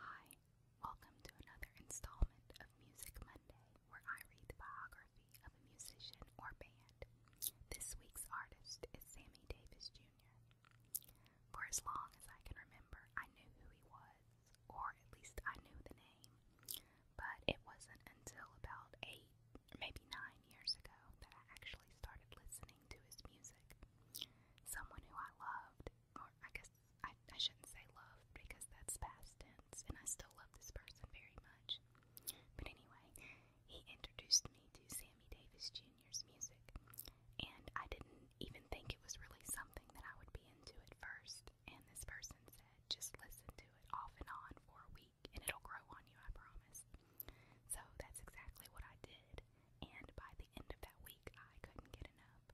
Hi, welcome to another installment of Music Monday, where I read the biography of a musician or band. This week's artist is Sammy Davis Jr. For as long as I can remember, I knew who he was, or at least I knew the name. But it wasn't until about eight, maybe nine years ago that I actually started listening to his music. Someone who I loved, or I guess I, I shouldn't say loved because that's past tense, and I still love this person very much. But anyway, he introduced me to Sammy Davis Jr.'s music, and I didn't even think it was really something that I would be into at first. And this person said just listen to it off and on for a week and it'll grow on you, I promise. So that's exactly what I did, and by the end of that week, I couldn't get enough.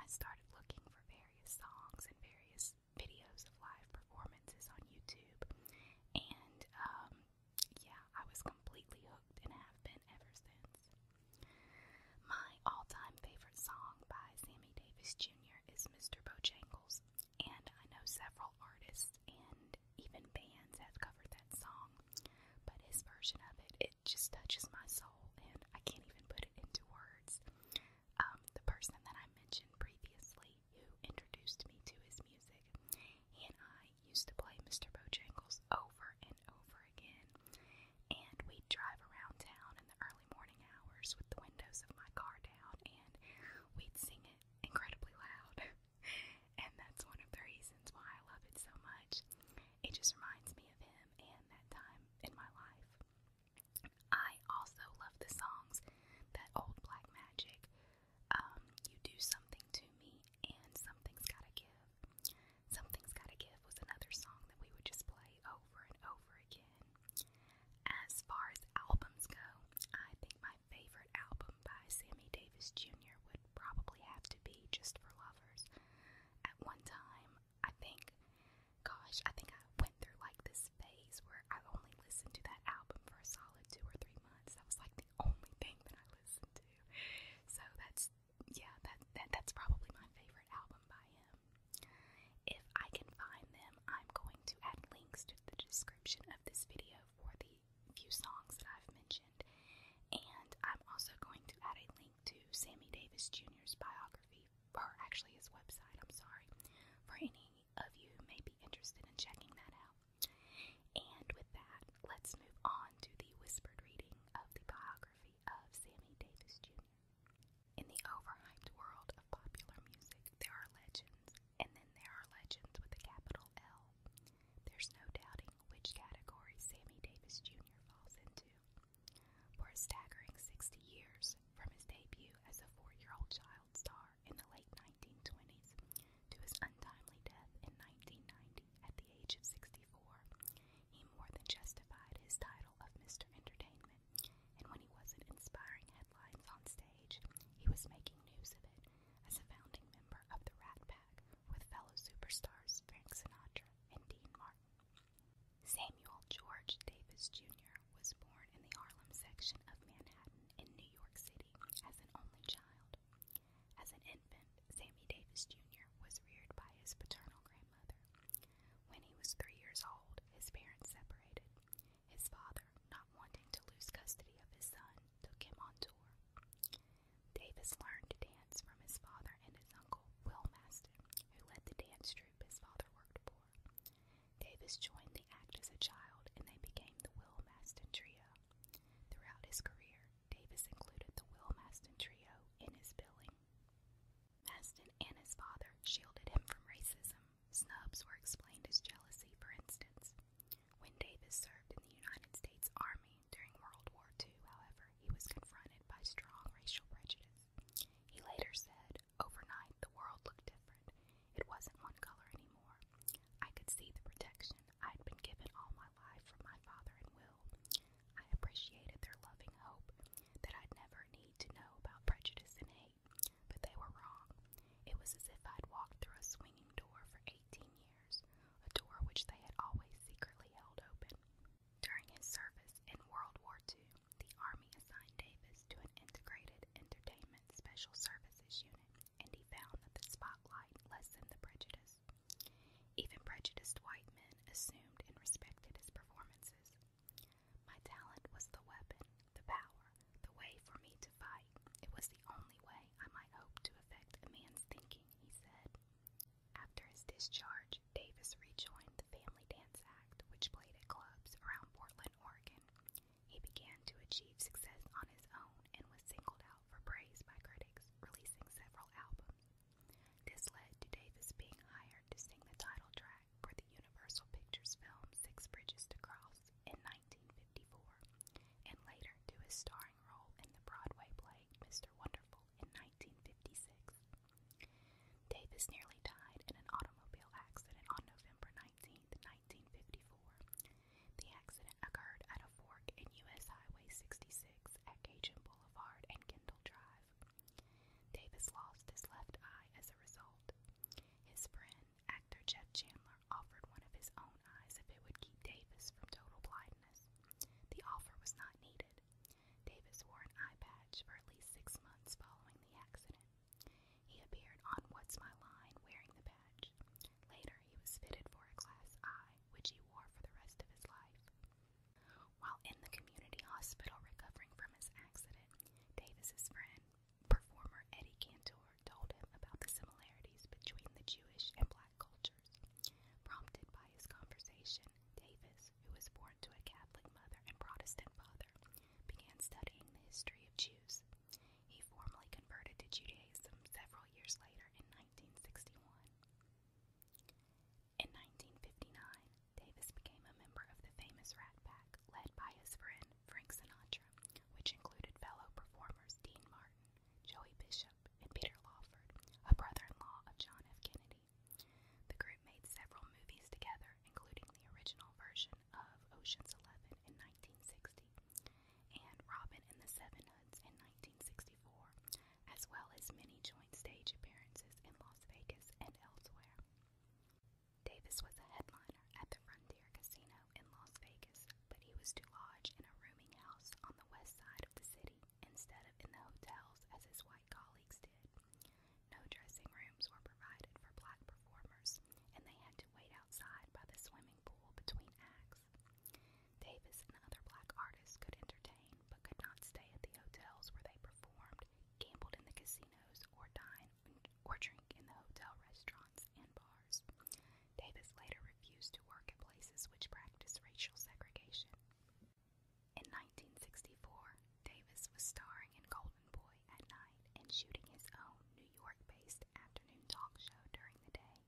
I started looking for various songs and various videos of live performances on YouTube, and um, yeah, I was completely hooked and have been ever since. My all time favorite song by Sammy Davis Jr is Mr. Bojangles, and I know several artists and even bands have covered that song, but his version of it, it just touches my soul, and I can't even put it into words. Um, the person that I mentioned previously who introduced me to his music, and I used to play Mr. Bojangles over and over again, and we'd drive around town in the early morning hours with the windows of my car down, and we'd sing it incredibly loud. and that's one of the reasons why I love it so much. It just reminds me of him and that time in my life. I also love the songs that old Black Magic, um, You Do Something to Me, and Something's Gotta Give. Something's Gotta Give was another song that we would just play over and over again. As far as albums go, I think my favorite album by Sammy Davis Jr. would probably have to be Just for Lovers. At one time, I think, gosh, I think I went through like this phase where I only listened to that album for a solid two or three months. That was like the only thing that I listened to. So that's yeah, that, that's probably my favorite album by him. If I can find them, I'm going to add links to the description of this video for the few songs that I've mentioned, and I'm also going to add a link to Sammy Davis Jr.'s biography, or actually his website. I'm sorry, for any of you may be interested in checking that out. And with that, let's move on to the whispered reading of the biography of Sammy Davis Jr. In the overhyped world of popular music, there are legends, and then there are legends with a capital L. There's no doubting which category Sammy Davis Jr. falls into. For a staggering 60 years, from his debut as a four year old child star in the late 1920s to his untimely death in 1990 at the age of 64, he more than justified his title of Mr. Entertainment, and when he wasn't inspiring headlines on stage, he was making news of it as a founding member of the Rat Pack with fellow superstars Frank Sinatra and Dean Martin. Samuel George Davis Jr. was born in the Harlem section of Manhattan in New York City as an only child. As an infant, Sammy Davis Jr. was reared by his paternal grandmother. When he was three years old, his parents separated. His father, not wanting to lose custody of his son, took him on tour. Davis learned to dance from his father and his uncle, Will Maston, who led the dance troupe his father worked for. Davis joined the act as a child, and they became the Will Maston Trio. Throughout his career, Davis included the Will Maston Trio in his billing. Maston and his father shielded him from racism. Snubs were explained as jealousy, for instance. When Davis served in the United States Army during World War II, however, he was confronted by strong racial prejudice. He later said, Overnight, the world looked different. It wasn't one color anymore. I could see the protection I'd been given all my life from my father and Will. I appreciated their loving hope that I'd never need to know about prejudice and hate, but they were wrong. It was as if I'd walked through a swinging door for 18 years, a door which they had always secretly held open. During his service in World War II, the Army assigned Davis to an integrated entertainment special services unit and he found that the spotlight lessened the prejudice. Even prejudiced white men assumed and respected his performances. My talent was the weapon, the power, the way for me to fight. It was the only way I might hope to affect a man's thinking, he said. After his discharge, Davis rejoined the Family Dance Act, which played at clubs around Portland, Oregon. He began to achieve success on his own and was singled for praise by critics, releasing several albums. This led to Davis being hired to sing the title track for the Universal Pictures film Six Bridges to Cross in 1954, and later to his starring role in the Broadway play Mr. Wonderful in 1956. Davis nearly died in an automobile accident on November 19, 1954, the accident occurred at a fork in U.S. Highway 66 at Cajun Boulevard and Kendall Drive. Davis lost his left eye as a result. His friend, actor Jeff Chandler, offered one of his own eyes if it would keep Davis from total blindness. The offer was not needed. Davis wore an eye patch for at least six months following the accident. He appeared on What's My Line wearing the patch. Later, he was fitted for a glass eye, which he wore for the rest of his life. While in the community hospital recovering from his accident, Davis's friend, performer Eddie Cantor, told him about the similarities between the Jewish and black cultures. Prompted by his conversation, Davis, who was born to a Catholic mother and Protestant father, began studying the history of Jews. He formally converted to Judaism several years later in 1961. In 1959, Davis became a member of the famous Rat Pack led by his friend Frank Sinatra, which included fellow performers Dean Martin, Joey Bishop, and Peter Lawford, a brother-in-law of John F. Kennedy. The group made several movies together, including the original version of Ocean's Eleven in 1960, and Robin and the Seven Hoods in 1964, as well as many joint stage appearances in Las Vegas and elsewhere. Davis was a headliner at the Frontier Casino in Las Vegas, but he was to lodge in a rooming house on the west side of the city instead of in the hotels as his white colleagues did. No dressing rooms were provided for black performers, and they had to wait outside by the swimming pool between acts. Davis and other black artists could entertain but could not stay at the hotels where they performed, gambled in the casinos, or dine or drink in the hotel restaurants and bars. Davis later refused to work at places which practiced racial segregation. In 1964, Davis was starring in Cold golden boy at night and shooting his own New York based afternoon talk show during the day.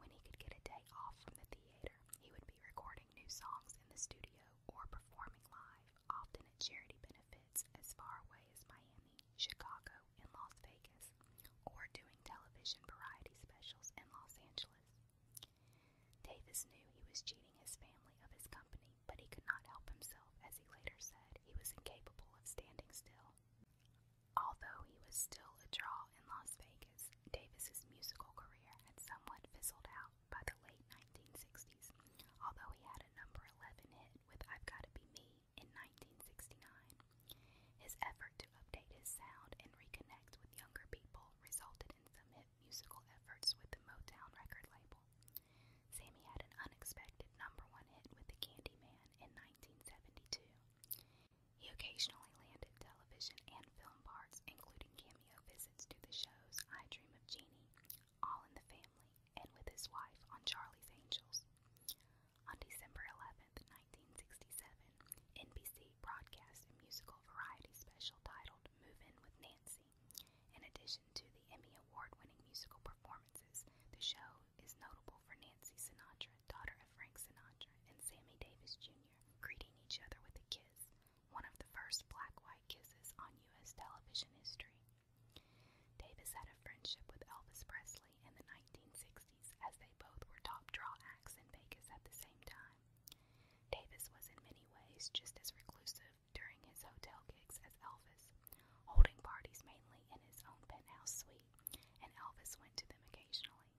When he could get a day off from the theater, he would be recording new songs in the studio or performing live, often at charity benefits as far away as Miami, Chicago, and Las Vegas, or doing television variety specials in Los Angeles. Davis knew he was cheating his family of his company but he could not help himself, as he later said he was incapable of standing still. Although he was still a draw in Las Vegas, Davis's musical career had somewhat fizzled out by the late 1960s, although he had a number 11 hit with I've Gotta Be Me in 1969. His effort to update his sound and reconnect with younger people resulted in some hit musical efforts with the Motown record label successful. Sammy had an unexpected number one hit with The Candyman in 1972. He occasionally landed television and film parts, including cameo visits to the shows I Dream of Jeannie, All in the Family, and with his wife on Charlie's Angels. On December 11th, 1967, NBC broadcast a musical variety special titled Move In with Nancy legacy. In addition to the Emmy Award winning musical performances, the show is notable for Nancy Sinatra, daughter of Frank Sinatra, and Sammy Davis Jr., greeting each other with a kiss, one of the first black white kisses on U.S. television history. Davis had a friendship with Elvis Presley in the 1960s as they both were top draw acts in Vegas at the same time. Davis was in many ways just as reclusive during his hotel gigs as Elvis, holding parties mainly in his own penthouse suite, and Elvis went to them occasionally.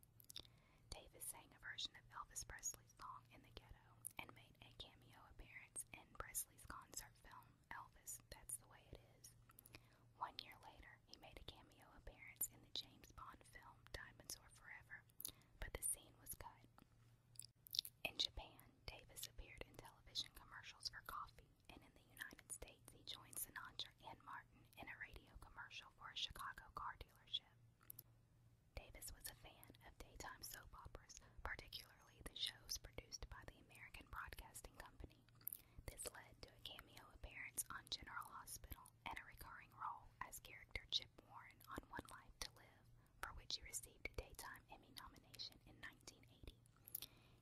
Davis sang a version of Elvis Presley's song in the ghetto and made a cameo appearance in Presley's concert film Elvis, That's the Way It Is. One year later, he made a cameo appearance in the James Bond film Diamonds Are Forever, but the scene was cut. In Japan, Davis appeared in television commercials for coffee, and in the United States, he joined Sinatra and Martin in a radio commercial for a Chicago car dealership. Davis was a fan of daytime soap operas, particularly the shows produced by the American Broadcasting Company. This led to a cameo appearance on General Hospital and a recurring role as character Chip Warren on One Life to Live, for which he received a Daytime Emmy nomination in 1980.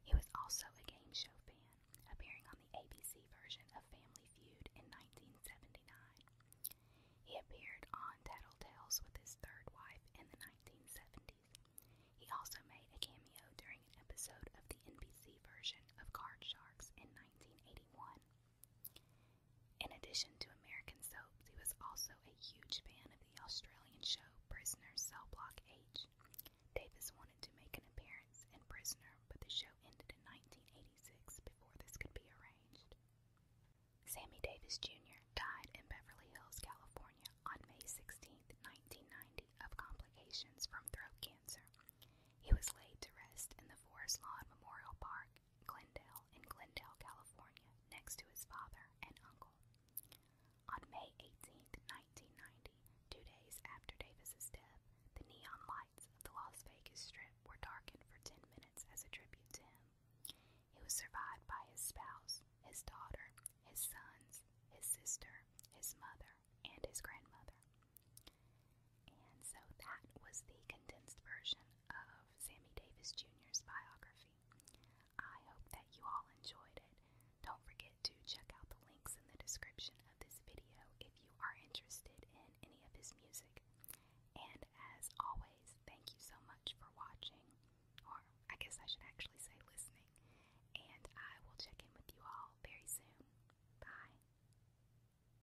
He was also a game show fan, appearing on the ABC version of Family Feud in 1979. He appeared on Tattletales with his third wife in the 1970s. He also made a cameo during an episode of the NBC version of Card Sharks in 1981. In addition to American soaps, he was also a huge fan of the Australian show Prisoner Cell Block H. Davis wanted to make an appearance in Prisoner, but the show ended in 1986 before this could be arranged. Sammy Davis Jr. died in Beverly Hills, California on May 16, 1990, of complications from throat cancer. He was laid to rest in the Forest Lawn Memorial Park Glendale in Glendale, California, next to his father and uncle. On May 18, 1990, two days after Davis's death, the neon lights of the Las Vegas Strip were darkened for 10 minutes as a tribute to him. He was survived by his spouse, his daughter, his sons, his sister, his mother, and his grandmother. And so that was the condensed version of Sammy Davis Jr.'s biography. I hope that you all enjoyed it. Don't forget to check out the links in the description of this video if you are interested in any of his music. And as always, thank you so much for watching, or I guess I should actually say listening, and I will check in with you all very soon. Bye.